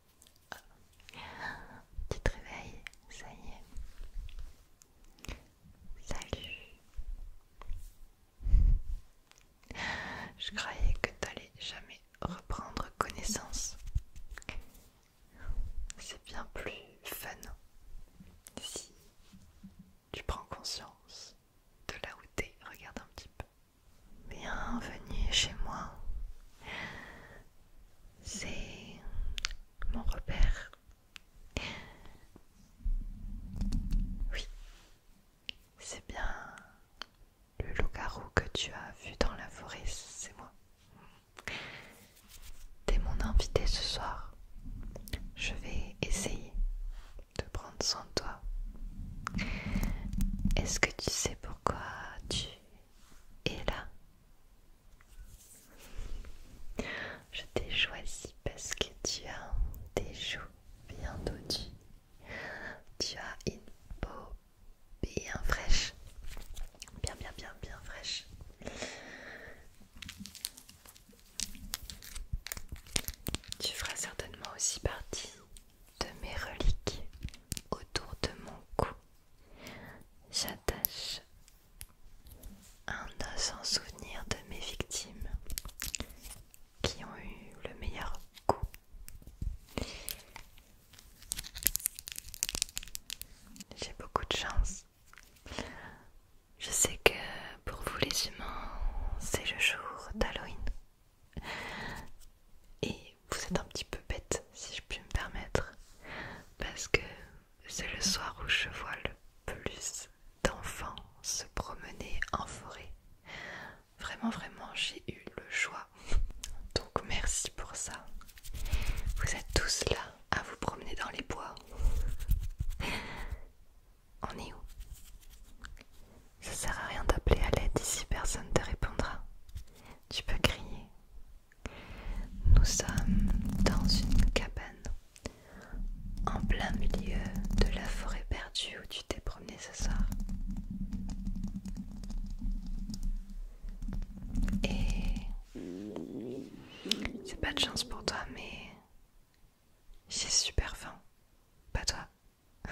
Petit Tu te réveilles, ça y est. Salut. Je croyais que t'allais jamais reprendre connaissance. C'est bien plus fun si tu prends conscience de là où t'es. Regarde un petit peu. Bienvenue chez moi c'est mon repère. Oui, c'est bien le loup-garou que tu as vu dans la forêt, c'est moi. T'es mon invité ce soir. Je vais essayer de prendre soin de toi. Est-ce que tu sais pourquoi tu et là. Je t'ai choisi parce que tu as des joues bien dodues. Tu as une peau bien fraîche. Bien, bien, bien, bien fraîche. Tu feras certainement aussi partie de mes reliques autour de mon cou. J'attache un os souvenir de mes victimes qui ont eu le meilleur coup. J'ai beaucoup de chance. Je sais que pour vous les humains, c'est le jour d'Halloween vous êtes un petit peu bête, si je puis me permettre, parce que c'est le soir où je vois le plus d'enfants se promener en forêt. Vraiment, vraiment, j'ai eu le choix. Donc merci pour ça. Vous êtes tous là à vous promener dans les bois. On est où Ça sert à rien d'appeler à l'aide ici, personne ne te répondra tu peux crier. Nous sommes dans une cabane, en plein milieu de la forêt perdue où tu t'es promené ce soir. Et c'est pas de chance pour toi, mais j'ai super faim. Pas toi.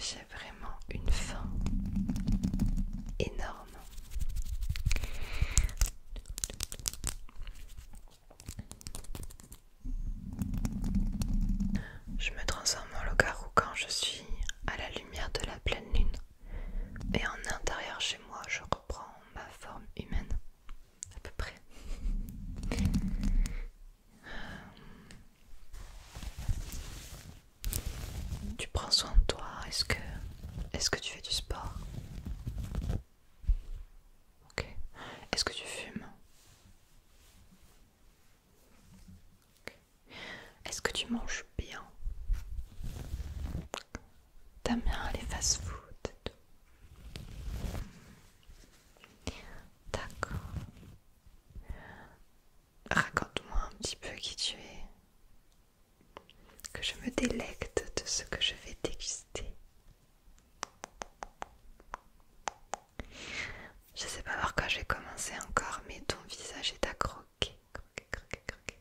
J'ai vraiment une faim énorme. Je me transforme en loup-garou quand je suis à la lumière de la pleine lune. Et en intérieur chez moi, je reprends ma forme humaine. À peu près. Tu prends soin de toi, est-ce que est-ce que tu fais du sport Est-ce que tu fumes Est-ce que tu manges bien T'aimes bien les fast-food D'accord. Raconte-moi un petit peu qui tu es. Que je me délecte de ce que je vais déguster. Je sais pas voir quand j'ai commencé encore, mais ton visage est à croquer. croquer, croquer, croquer.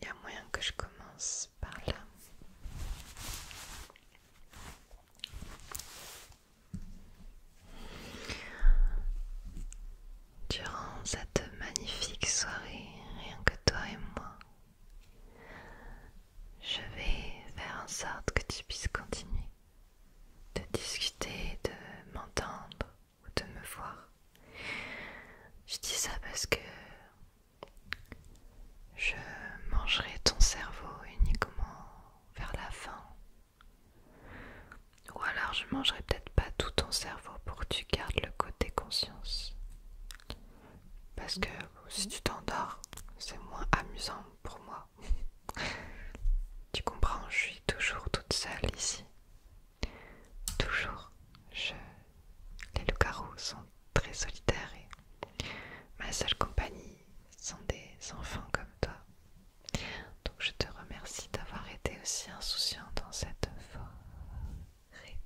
Il y a moyen que je commence par là. Durant cette magnifique soirée, rien que toi et moi, je vais faire en sorte que tu puisses continuer de discuter, de m'entendre ou de me voir. Je dis ça parce que je mangerai ton cerveau uniquement vers la fin. Ou alors je mangerai peut-être pas tout ton cerveau pour que tu gardes le côté conscience. Parce que si tu t'endors, c'est moins amusant pour moi. tu comprends, je suis toujours toute seule ici. Toujours. Je... Les loups-garous sont très solitaires et ma seule compagnie sont des enfants comme toi. Donc je te remercie d'avoir été aussi insouciant dans cette forêt.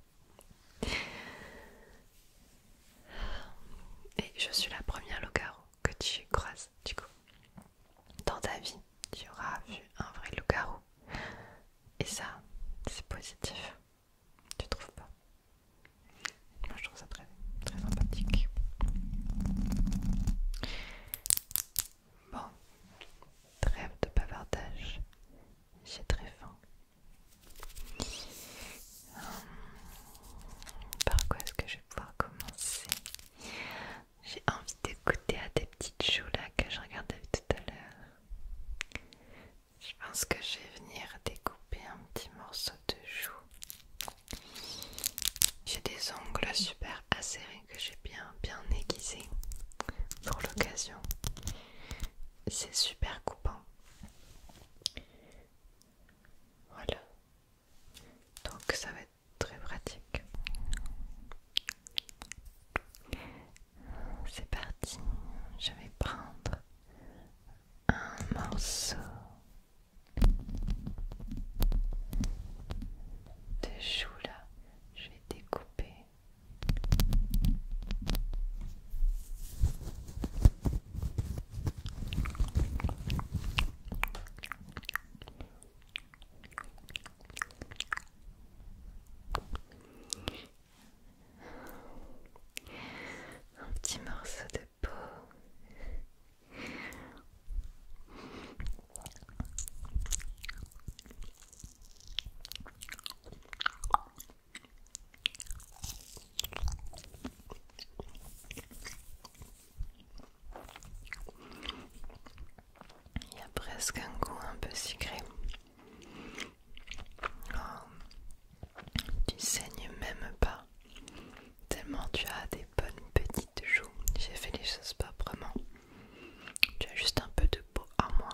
Et je suis la première loup-garou que tu croises, du coup. Dans ta vie, tu auras vu un vrai loup-garou. Et ça, c'est positif. Tu trouves pas moi je trouve ça très, sympathique. Bon, trêve de bavardage, j'ai très faim. Hum. par quoi est-ce que je vais pouvoir commencer J'ai envie d'écouter à des petites choux là que je regardais tout à l'heure. Je pense que je vais venir découper un petit morceau de joue. J'ai des ongles super acérés que j'ai bien bien aiguisés pour l'occasion. C'est super coupant. Voilà. Donc ça va être très pratique. C'est parti. Je vais prendre un morceau de chou là, je vais découper un petit morceau de peau. Il y a presque un goût un peu sucré. Oh, tu saignes même pas. Tellement tu as des bonnes petites joues. J'ai fait les choses proprement. Tu as juste un peu de peau à moi.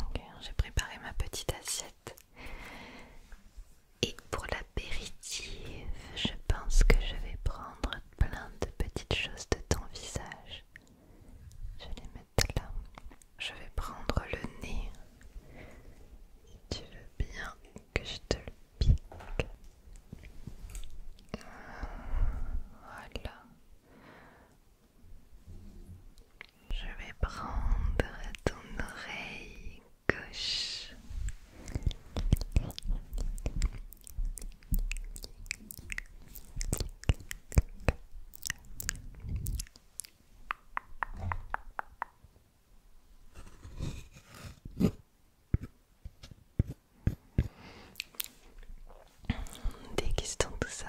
Ok, j'ai préparé ma petite assiette. Et pour l'apéritif, je pense que je vais prendre plein de petites choses de ton visage. Je les mettre. Je vais prendre le nez. tu veux bien que je te le pique. Voilà. Je vais prendre ton oreille gauche. Dégustons tout ça.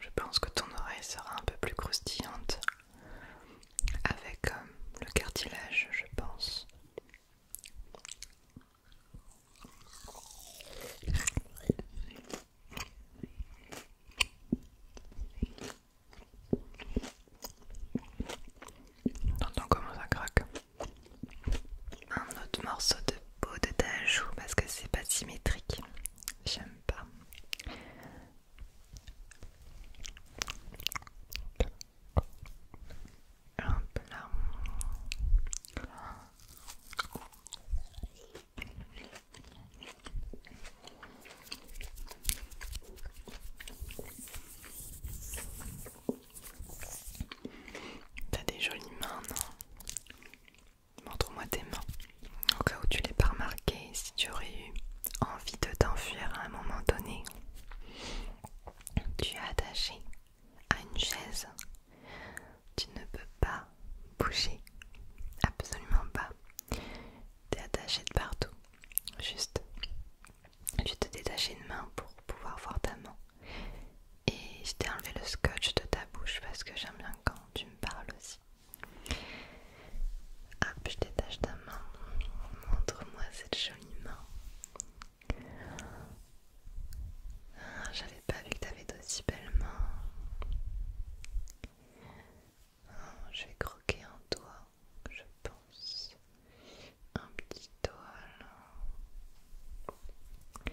Je pense que ton oreille sera un peu plus croustillante avec euh, le cartilage, je pense. T'entends comment ça craque un autre morceau de peau de ta joue parce que c'est pas symétrique. J'aime pas. T'as des jolies mains, non Montre-moi tes mains. Au cas où tu l'aies pas remarqué, si tu aurais eu envie de t'enfuir à un moment donné, tu es attaché à une chaise. Tu ne peux pas bouger. Absolument pas. T'es attaché de partout. Juste je te détacher une main pour pouvoir voir ta main. Et je t'ai enlevé le scotch de ta bouche parce que j'aime bien quand tu me parles aussi. Hop, je détache ta main. Montre-moi cette jolie main. Ah, j'avais pas vu que t'avais d'aussi belles mains. Ah, je vais croquer en toi je pense. Un petit doigt Ok,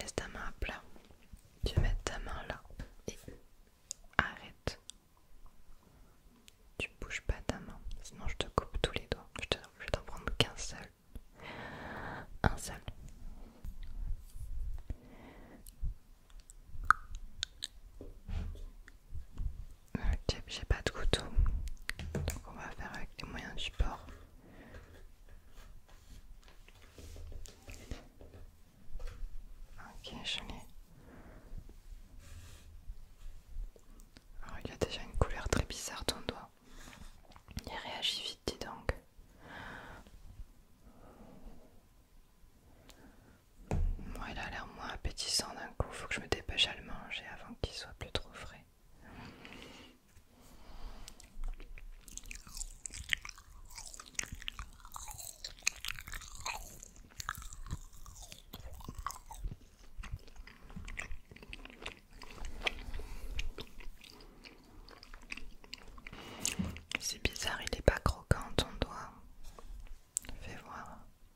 laisse ta main à plat. Tu mets ta main là et arrête. Tu bouges pas ta main, sinon je te coupe tous les doigts. Je, te, vais t'en prendre qu'un seul. Un seul. Ok, J'ai pas de couteau, donc on va faire avec les moyens du port. Ok, je l'ai. Alors il a déjà une couleur très bizarre ton doigt. Il réagit vite, dis donc il a l'air moins appétissant d'un coup, faut que je me dépêche à le manger avant qu'il soit plus trop frais. C'est bizarre, il n'est pas croquant ton doigt. Fais voir.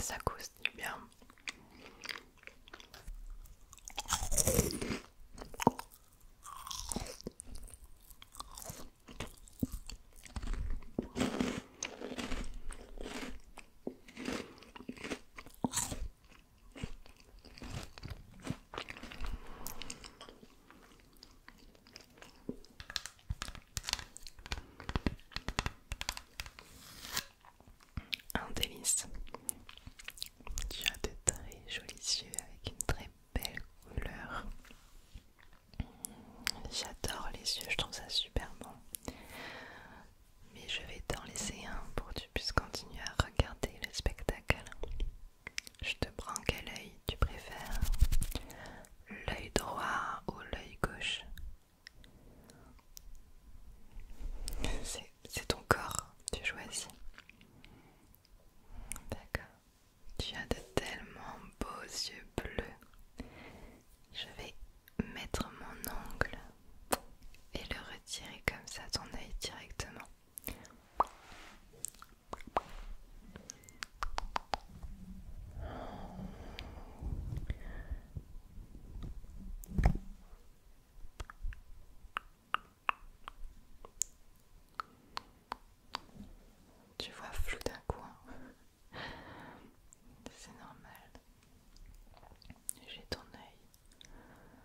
Ça bien. Un délice tu as de très jolis yeux avec une très belle couleur. J'adore les yeux, je trouve ça super bon mais je vais t'en laisser un pour que tu puisses continuer à regarder le spectacle. Je te prends quel œil tu préfères L'œil droit ou l'œil gauche C'est ton corps, tu choisis. D'accord. Tu as de tellement beaux yeux bleus. Je vais mettre mon ongle et le retirer comme ça ton œil directement. Tu vois flou d'un coin, hein. c'est normal. J'ai ton œil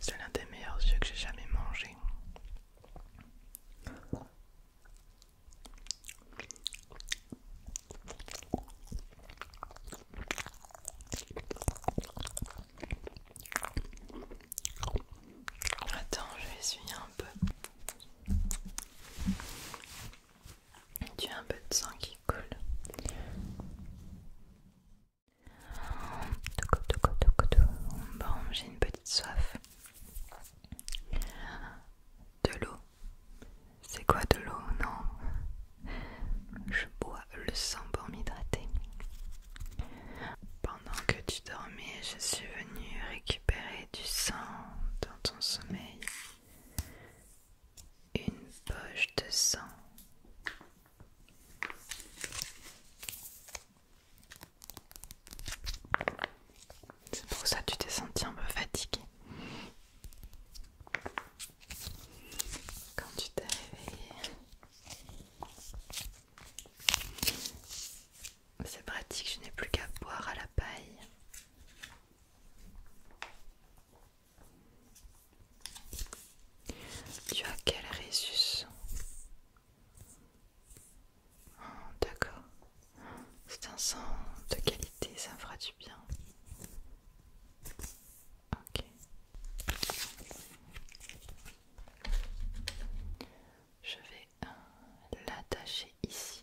C'est l'un des meilleurs yeux que j'ai jamais mangé. Attends, je vais essuyer un peu. Tu as un peu de sang qui coule. Bon, j'ai une petite soif. De l'eau. C'est quoi de l'eau Non. Je bois le sang pour m'hydrater. Pendant que tu dormais, je suis venue récupérer du sang dans ton sommeil. Une poche de sang. C'est pour ça que tu t'es senti un peu fatigué. Quand tu t'es réveillé. C'est pratique, je n'ai plus qu'à boire à la paille. Tu as quel résus oh, D'accord. C'est un sang de qualité, ça me fera du bien. Ok. Je vais euh, l'attacher ici.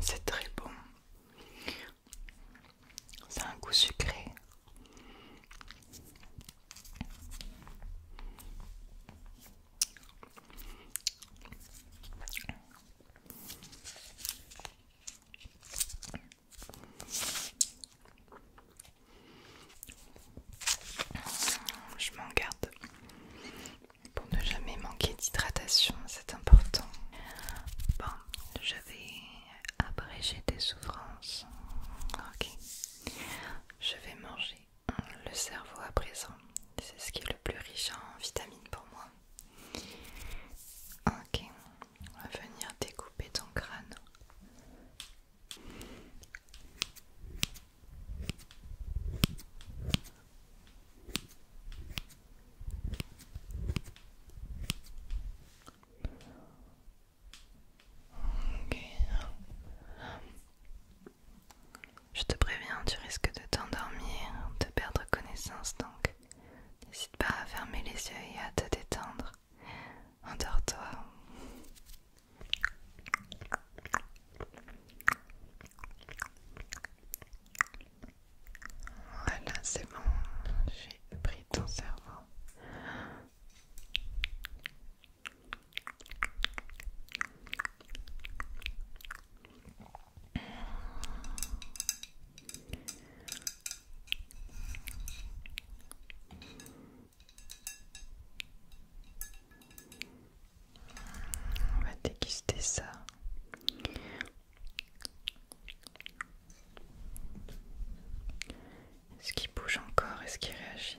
C'est très bon. C'est un goût sucré. Je m'en garde pour ne jamais manquer d'hydratation, c'est important. Bon, je vais abréger tes souffrances. Ok. Je vais manger le cerveau à présent. C'est ce qui est le plus riche en vitamines pour moi. Ok, on va venir découper ton crâne je te préviens, tu risques de t'endormir, de perdre connaissance donc. N'hésite pas à fermer les yeux et à te détendre. Endors-toi. Voilà, c'est bon, j'ai pris ton cerveau. On va déguster ça. Est-ce qu'il bouge encore Est-ce qu'il réagit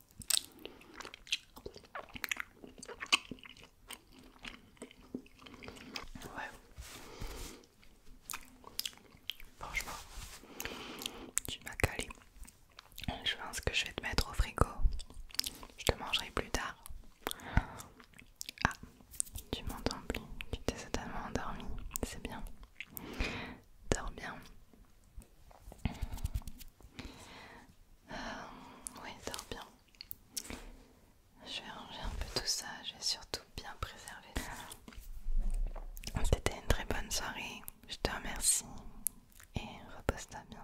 Franchement, tu m'as calé. Je pense que je vais te mettre au frigo. Je te mangerai plus tard. Ah, tu m'entends plus. Tu t'es certainement endormi. C'est bien. Dors bien oui, dors bien. Je vais ranger un peu tout ça, vais surtout bien préservé. C'était une très bonne soirée, je te remercie et repose-toi bien.